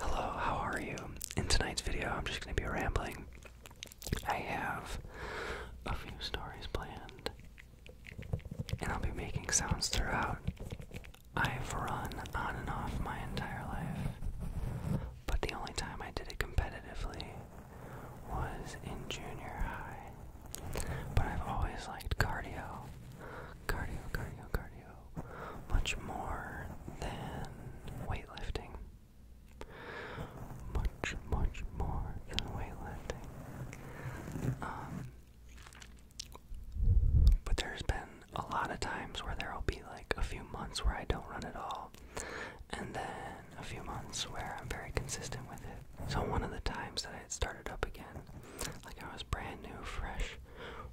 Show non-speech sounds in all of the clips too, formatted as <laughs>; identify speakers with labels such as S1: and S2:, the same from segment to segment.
S1: Hello, how are you? In tonight's video, I'm just going to be rambling. I have a few stories planned, and I'll be making sounds throughout. I've run on and off my entire life, but the only time I did it competitively was in junior high. But I've always liked cardio. Cardio, cardio, cardio much more than weightlifting. Much, much more than weightlifting. Um, but there's been a lot of times where there'll be like a few months where I don't run at all, and then a few months where I'm very consistent with it. So, one of the times that I had started up again, like I was brand new, fresh,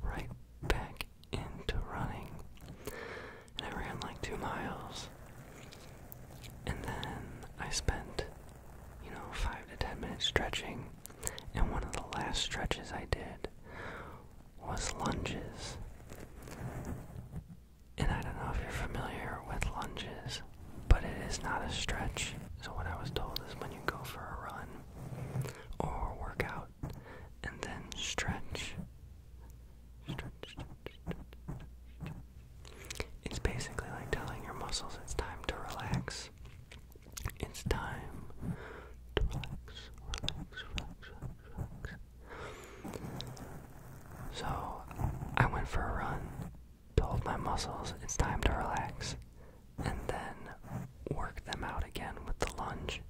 S1: right back into running. And I ran like two miles. And then I spent, you know, five to ten minutes stretching. And one of the last stretches I did was lunges. And I don't know if you're familiar with lunges, but it is not a stretch. So, what I was told is when you go for a run or workout, and then stretch. Stretch, It's basically like telling your muscles it's time to relax. It's time to relax, relax, relax, relax. So I went for a run, told my muscles it's time to relax and then work them out again with the lunge,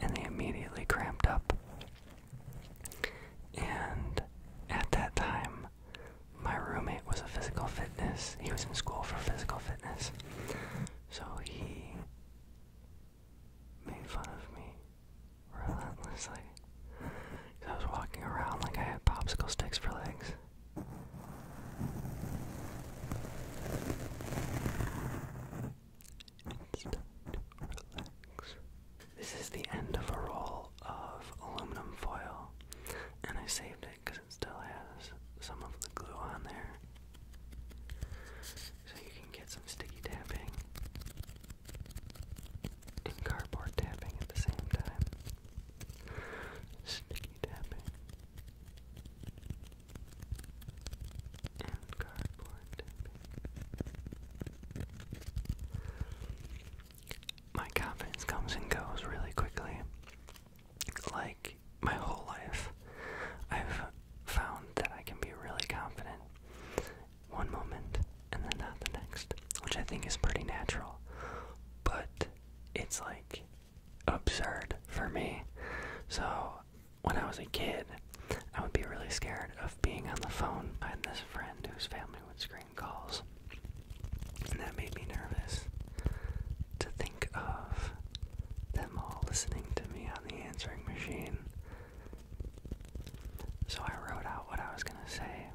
S1: and they immediately cramped up. And at that time, my roommate was a physical fitness, he was in school for physical fitness, so he made fun of me relentlessly. I was walking around like I had popsicle sticks for legs. This is the end of a roll of aluminum foil, and I saved it because it still has some of the glue on there. So you can get some sticky tapping and cardboard tapping at the same time. Sticky tapping. My confidence comes and goes really quickly. Like my whole life, I've found that I can be really confident one moment and then not the next, which I think is pretty natural. But it's like absurd for me. So when I was a kid, I would be really scared of being on the phone. I had this friend whose family would screen calls, and that made me nervous to think of them all listening to me on the answering machine. So I wrote out what I was going to say,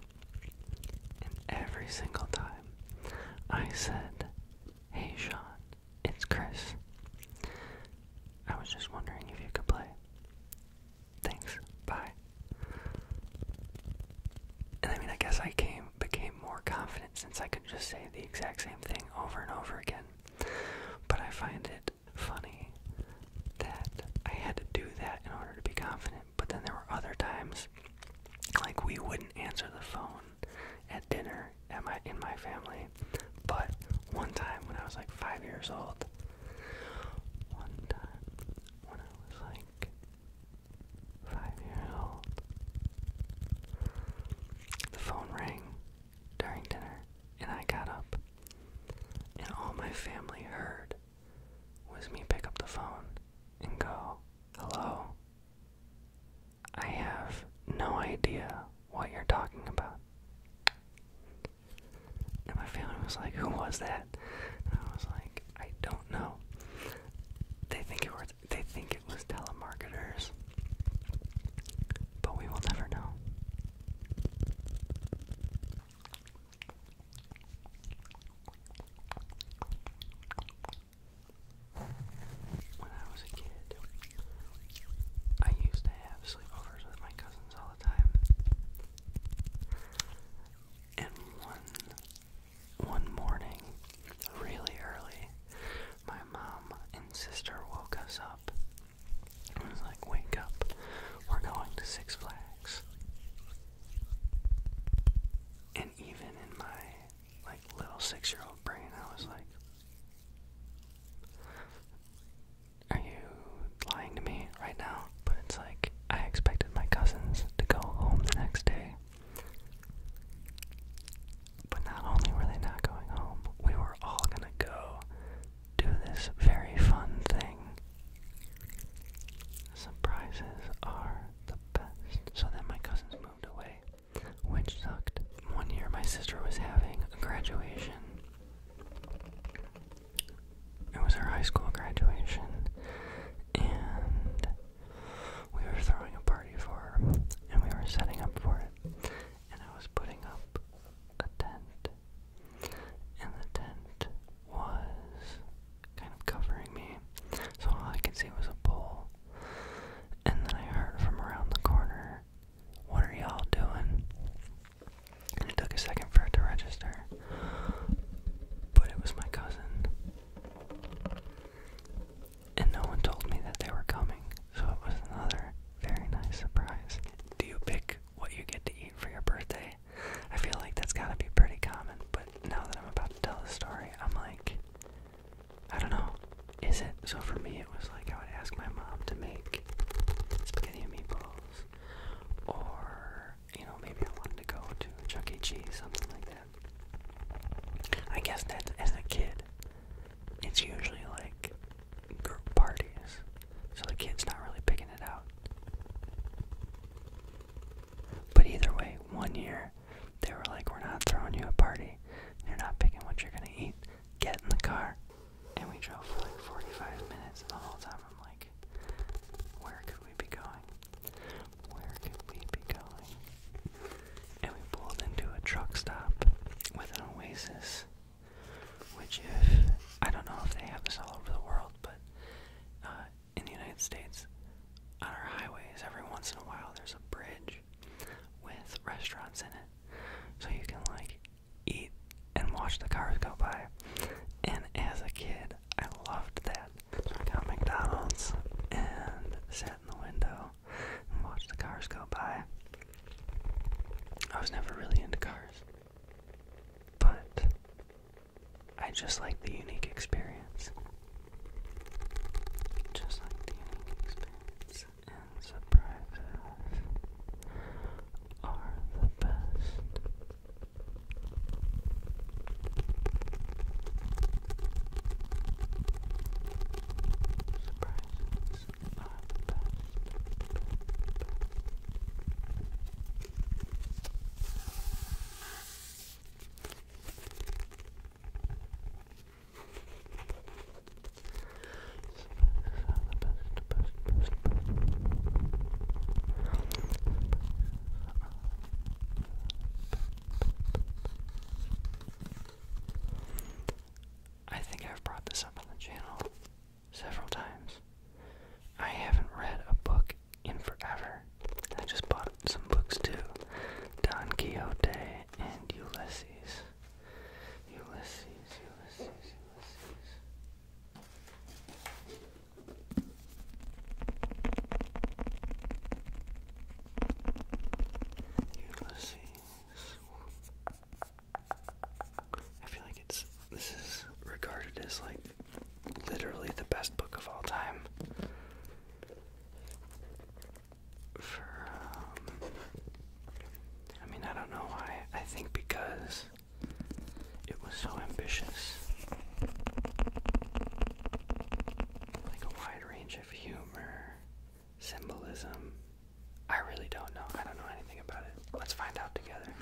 S1: and every single time I said, Hey Sean, it's Chris. I was just wondering if you could play. Thanks. Bye. And I mean, I guess I came became more confident since I could just say the exact same thing over and over again. But I find it funny that I had to do that in order to be confident. But then there were other times, like we wouldn't answer the phone at dinner at my in my family. But one time when I was like five years old, one time when I was like five years old, the phone rang during dinner, and I got up, and all my family heard was me pick up the phone and go, "Hello." I have no idea what you're talking about. And my family was like, Who was that? And I was like, I don't know. They think it was they think it was telemarketers. But we will never know. When I was a kid, I used to have sleepovers with my cousins all the time. And one one morning, really early, my mom and sister woke us up. It was like, wake up, we're going to Six Flags. And even in my like little six year old brain, I was like, Are you lying to me right now? But it's like, I expected my cousins to go home the next day. But not only were they not going home, we were all gonna go do this very fun thing. Surprises are the best. So then my cousins moved moved away, which sucked. One year my sister was having a graduation. It was her high school graduation, and we were throwing a party for her, and we were setting up for it, and I was putting up a tent, and the tent was kind of covering me, so all I could see was a pole and then I heard from around the corner, What are y'all doing? it took a second for it to register. But it was my cousin. And no one told me that they were coming, so it was another very nice surprise. Do you pick what you get to eat for your birthday? I feel like that's gotta be pretty common, but now that I'm about to tell the story, I'm like, I don't know. Is it? So for me, it was like I would ask my mom to make spaghetti meatballs, or you know, maybe I wanted to go to Chuck E. Cheese, something like that. I guess that as a kid, it's usually like group parties, so the kid's not really picking it out. But either way, one year they were like, We're not throwing you a party. You're not picking what you're gonna eat. Get in the car. And we drove for like 45 minutes, and the whole time I'm like, Where could we be going? Where could we be going? And we pulled into a truck stop with an oasis. Which, if I don't know if they have this all over the world, but uh, in the United States, on our highways, every once in a while, there's a bridge with restaurants in it. So you can, like, eat and watch the cars go by. And as a kid, I loved that. So I got McDonald's and sat in the window and watched the cars go by. I was never really into cars. But I just like the unique experience. Just like the unique experience. And surprises are the best. Surprises are the best. I think I've brought this up on the channel several times. I haven't read a book in forever. I just bought some books too Don Quixote and Ulysses. Ulysses, Ulysses, Ulysses. Ulysses. I feel like it's this is regarded as like literally the best book of all time. For, um, I mean, I don't know why. I think because it was so ambitious. Like a wide range of humor, symbolism. I really don't know. I don't know anything about it. Let's find out together.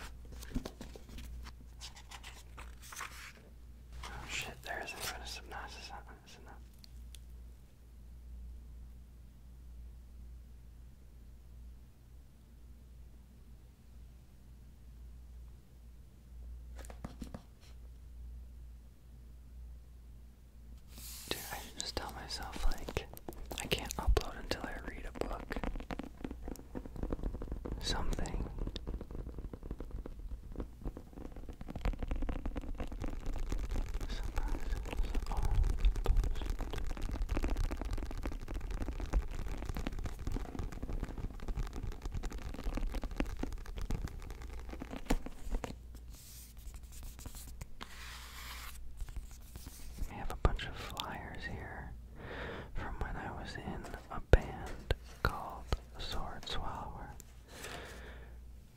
S1: Oh shit, there is in front of Subnautica, isn't I should just tell myself, like, I can't upload until I read a book something. Surprises are we have a bunch of flyers here from when I was in band called Sword Swallower.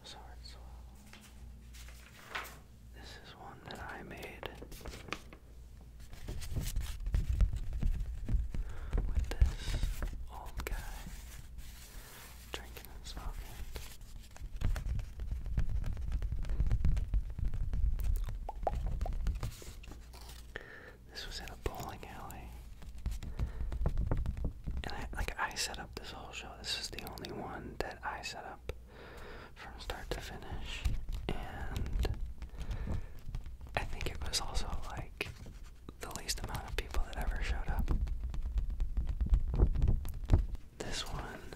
S1: Sword Swallower. This is one that I made with this old guy drinking and smoking. This was in a bowling alley. And like I set up this whole show. This is the only one that I set up from start to finish. And I think it was also like the least amount of people that ever showed up. This one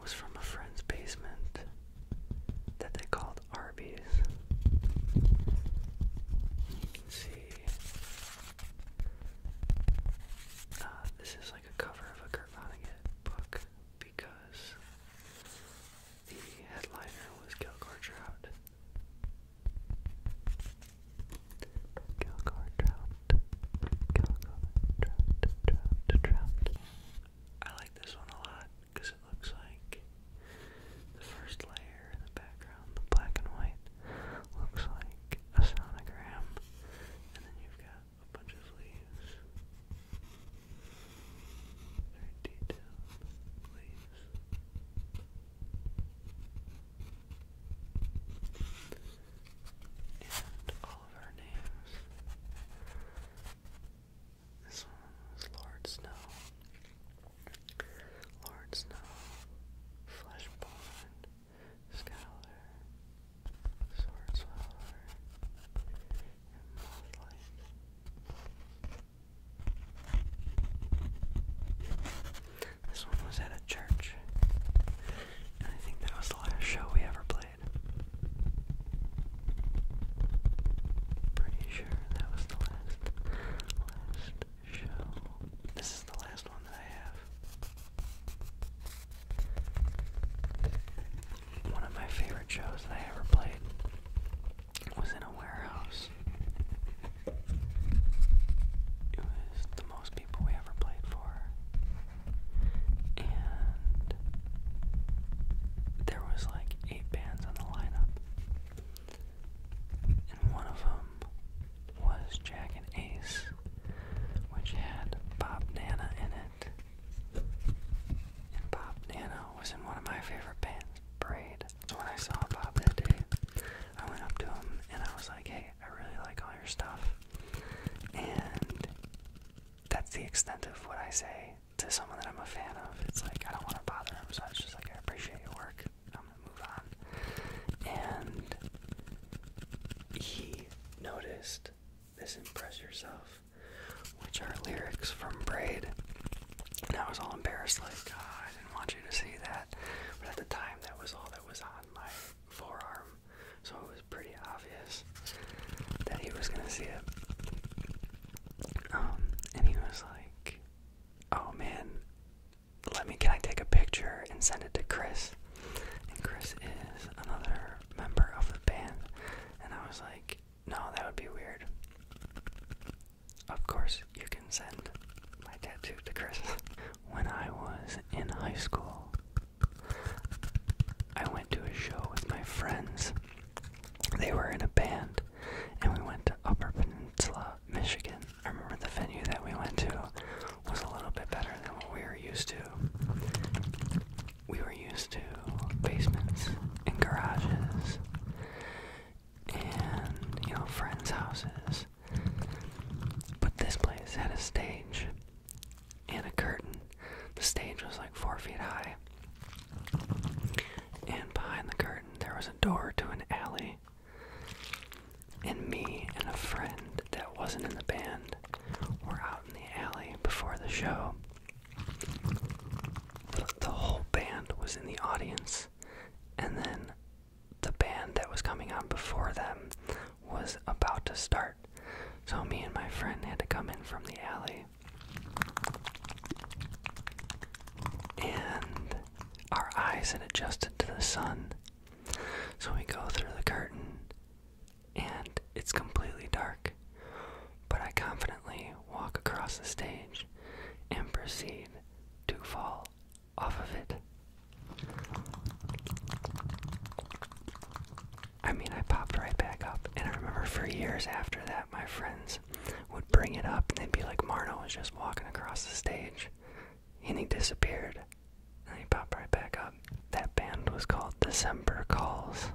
S1: was from a friend's basement that they called Arby's. see uh, this is like a cover of a Kurt book because the headliner was Gilgore Trout. Gilgore Trout. Gilgore Trout, Trout, Trout. I like this one a lot because it looks like the first layer in the background, the black and white, looks like a sonogram, and then you've got a bunch of leaves, very detailed leaves. And all of our names this one was Lord Snow. Lord Snow, Fleshborn, Scholar, Swordswallower, and Mothlight. This one was at a church. And I think that was the last show we ever played. Pretty sure that was the last, last show. This is the last one that I have. One of my favorite shows that I ever played was in a warehouse. It was the most people we ever played for. And there was like eight bands on the lineup, and one of them was Jack and Ace, which had Bob Nana in it. And Bob Nana was in one of my favorite bands, Braid. So when I saw Bob that day, I went up to him and I was like, hey, I really like all your stuff. And that's the extent of what I say to someone that I'm a fan of, it's like I don't want to bother him, so it's just like I appreciate your work. I'm gonna move on. And he noticed this Impress Yourself, which are lyrics from Braid. And I was all embarrassed, like, oh, I didn't want you to see that. But at the time, that was all that was on my forearm. So it was pretty obvious obvious that he was gonna see it. Um, and he was like, "Oh man, let me. Can I take a picture and send it to Chris?" And Chris is another member of the band, and I was like, "No, that would be weird." Of course, you can send my tattoo to Chris. <laughs> when I was in high school, I went to a show with my friends they were in a band, and we went to Upper Peninsula, Michigan. I remember the venue that we went to was a little bit better than what we were used to. We were used to basements and garages and, you know, friends' houses. But this place had a stage and a curtain. The stage was like four feet high. And behind the curtain, there was a door to an alley. And me and a friend that wasn't in the band were out in the alley before the show. The, whole band was in the audience, and then the band that was coming on before them was about to start. So me and my friend had to come in from the alley and our eyes had adjusted to the sun. So we go through the curtain, and it's completely dark. But I confidently walk across the stage and proceed to fall off of it. I mean, I popped right back up. And I remember for years after that, my friends would bring it up and they'd be like, Marno was just walking across the stage and he disappeared. And he popped right back up. That band was called December Calls.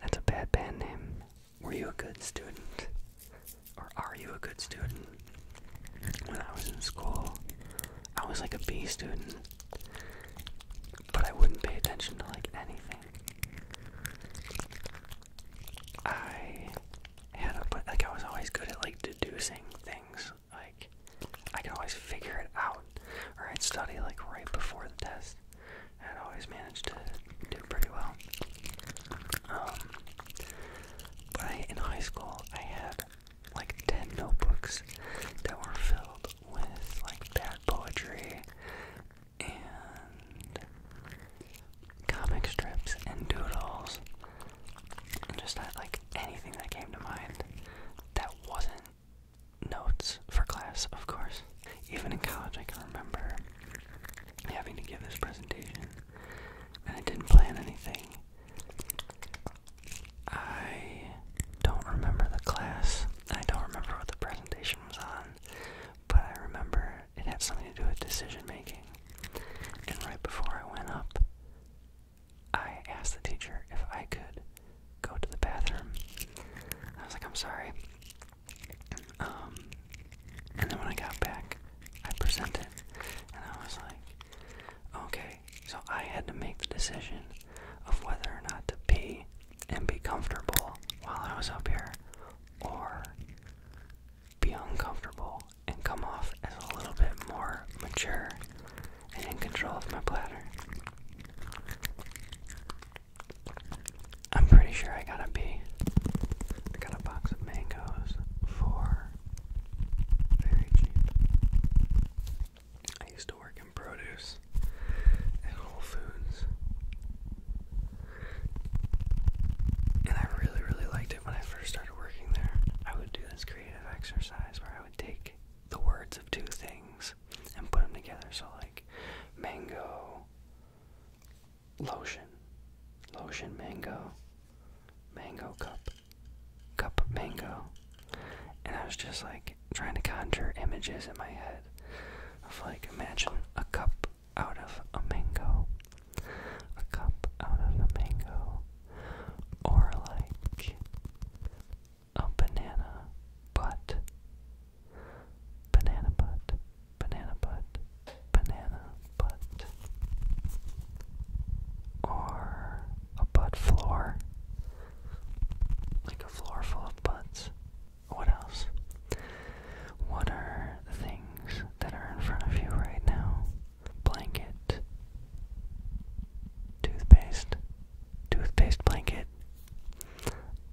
S1: That's a bad band name. Were you a good student? Or are you a good student? When I was in school, I was like a B student. But I wouldn't pay attention to like anything. I had a like I was always good at like deducing things. Like I could always figure it out. Or I'd study like right before the test. I'd always manage to do pretty well. Um, but in high school I had like 10 notebooks that were filled with like bad poetry and comic strips and doodles just like anything that came to mind that wasn't notes for class, of course. Even in college, I can remember having to give this presentation and I didn't plan anything. I don't remember the class. I don't remember what the presentation was on, but I remember it had something to do with decision making. And right before I went up, I asked the teacher if I could go to the bathroom. I was like, I'm sorry. Um, and then when I got back, I presented, and I was like, okay, so I had to make the decision of whether or not to pee and be comfortable while I was up here, or be uncomfortable and come off as a little bit more mature and in control of my bladder. I'm pretty sure I gotta be. I got a box of mangoes for very cheap. I used to work in produce at Whole Foods. And I really, really liked it when I first started working there. I would do this creative exercise where I would take the words of two things and put them together. So, like, mango, lotion, lotion, mango, mango cup cup, cup mango. And I was just like trying to conjure images in my head of like, imagine a cup out of a mango, a cup out of a mango, or like a banana butt, banana butt, banana butt, banana butt, or a butt floor, like a floor full of butts. What else? What are the things that are in front of you right now? Blanket, toothpaste, toothpaste blanket,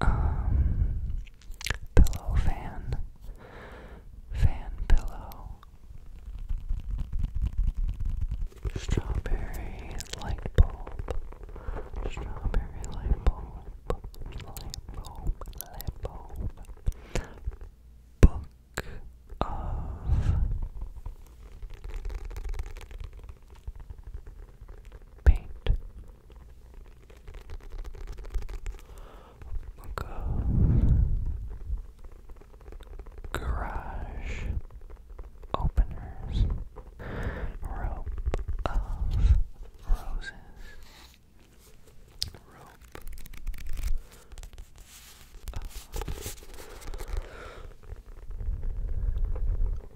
S1: um, pillow fan, fan pillow, Strawberry light bulb. Strawberry light bulb. Light bulb. Light bulb. Book of paint. Book of garage openers, rope of roses,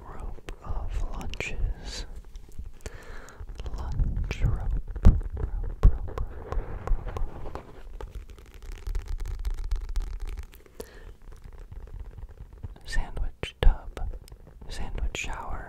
S1: rope of lunches, lunch rope sandwich tub, sandwich shower.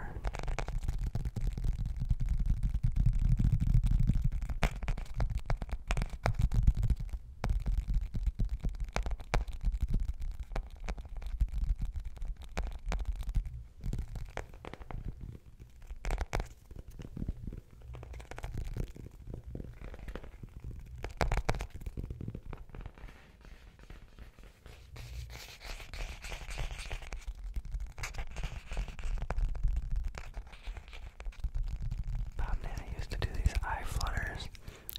S1: Probably I used to do these eye flutters.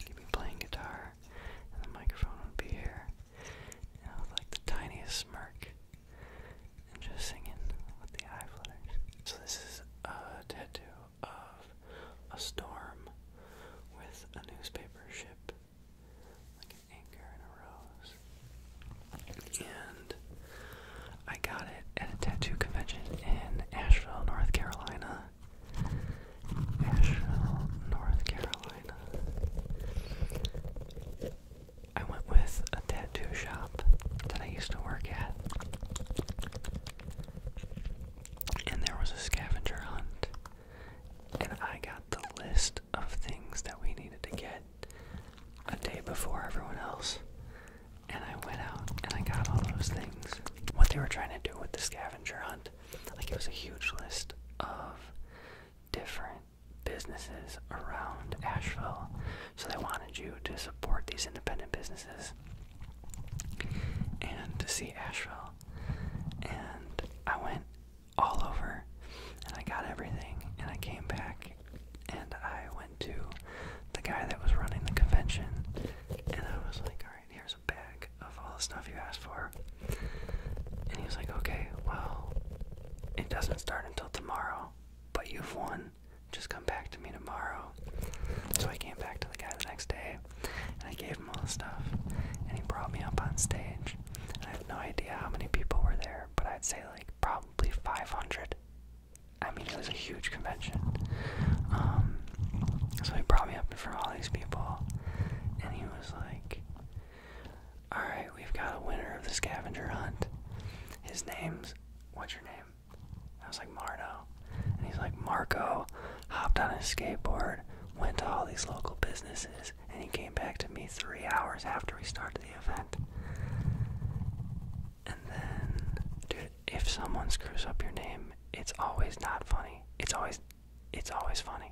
S1: You'd be playing guitar and the microphone would be here. You know, like the tiniest smirk. And just singing with the eye flutters. So this is a tattoo of a storm with a newspaper ship, like an anchor and a rose. And I got it at a tattoo convention in Asheville, North Carolina. Asheville, North Carolina. I went with a tattoo shop that I used to work at. And there was a scavenger hunt. And I got the list of things that we needed to get a day before everyone else. And I went out and I got all those things. What they were trying to do with the scavenger hunt, like it was a huge list of different businesses around Asheville. So they wanted you to support these independent businesses and to see Asheville. And I went all over and I got everything and I came back and I went to the guy that was running the convention and I was like, alright, here's a bag of all the stuff you asked for. And he was like, okay, well, it doesn't start until tomorrow, but you've won just come back to me tomorrow. So I came back to the guy the next day and I gave him all the stuff. And he brought me up on stage. I have no idea how many people were there, but I'd say like probably 500. I mean, it was a huge convention. Um, so he brought me up in front of all these people, and he was like, Alright, we've got a winner of the scavenger hunt. His name's. What's your name? I was like, Mardo, And he's like, Marco hopped on his skateboard, went to all these local businesses, and he came back to me three hours after we started the event. And then, dude, if someone screws up your name, it's always not funny. It's always, it's always funny.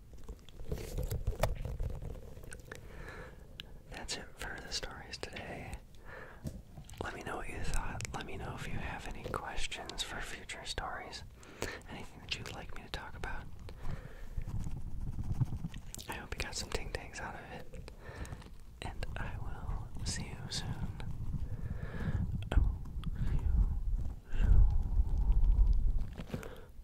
S1: That's it for the stories today. Let me know what you thought. Let me know if you have any questions for future stories. Anything that you'd like me to talk about. I hope you got some ting tangs out of it. And I will see you soon. see you soon.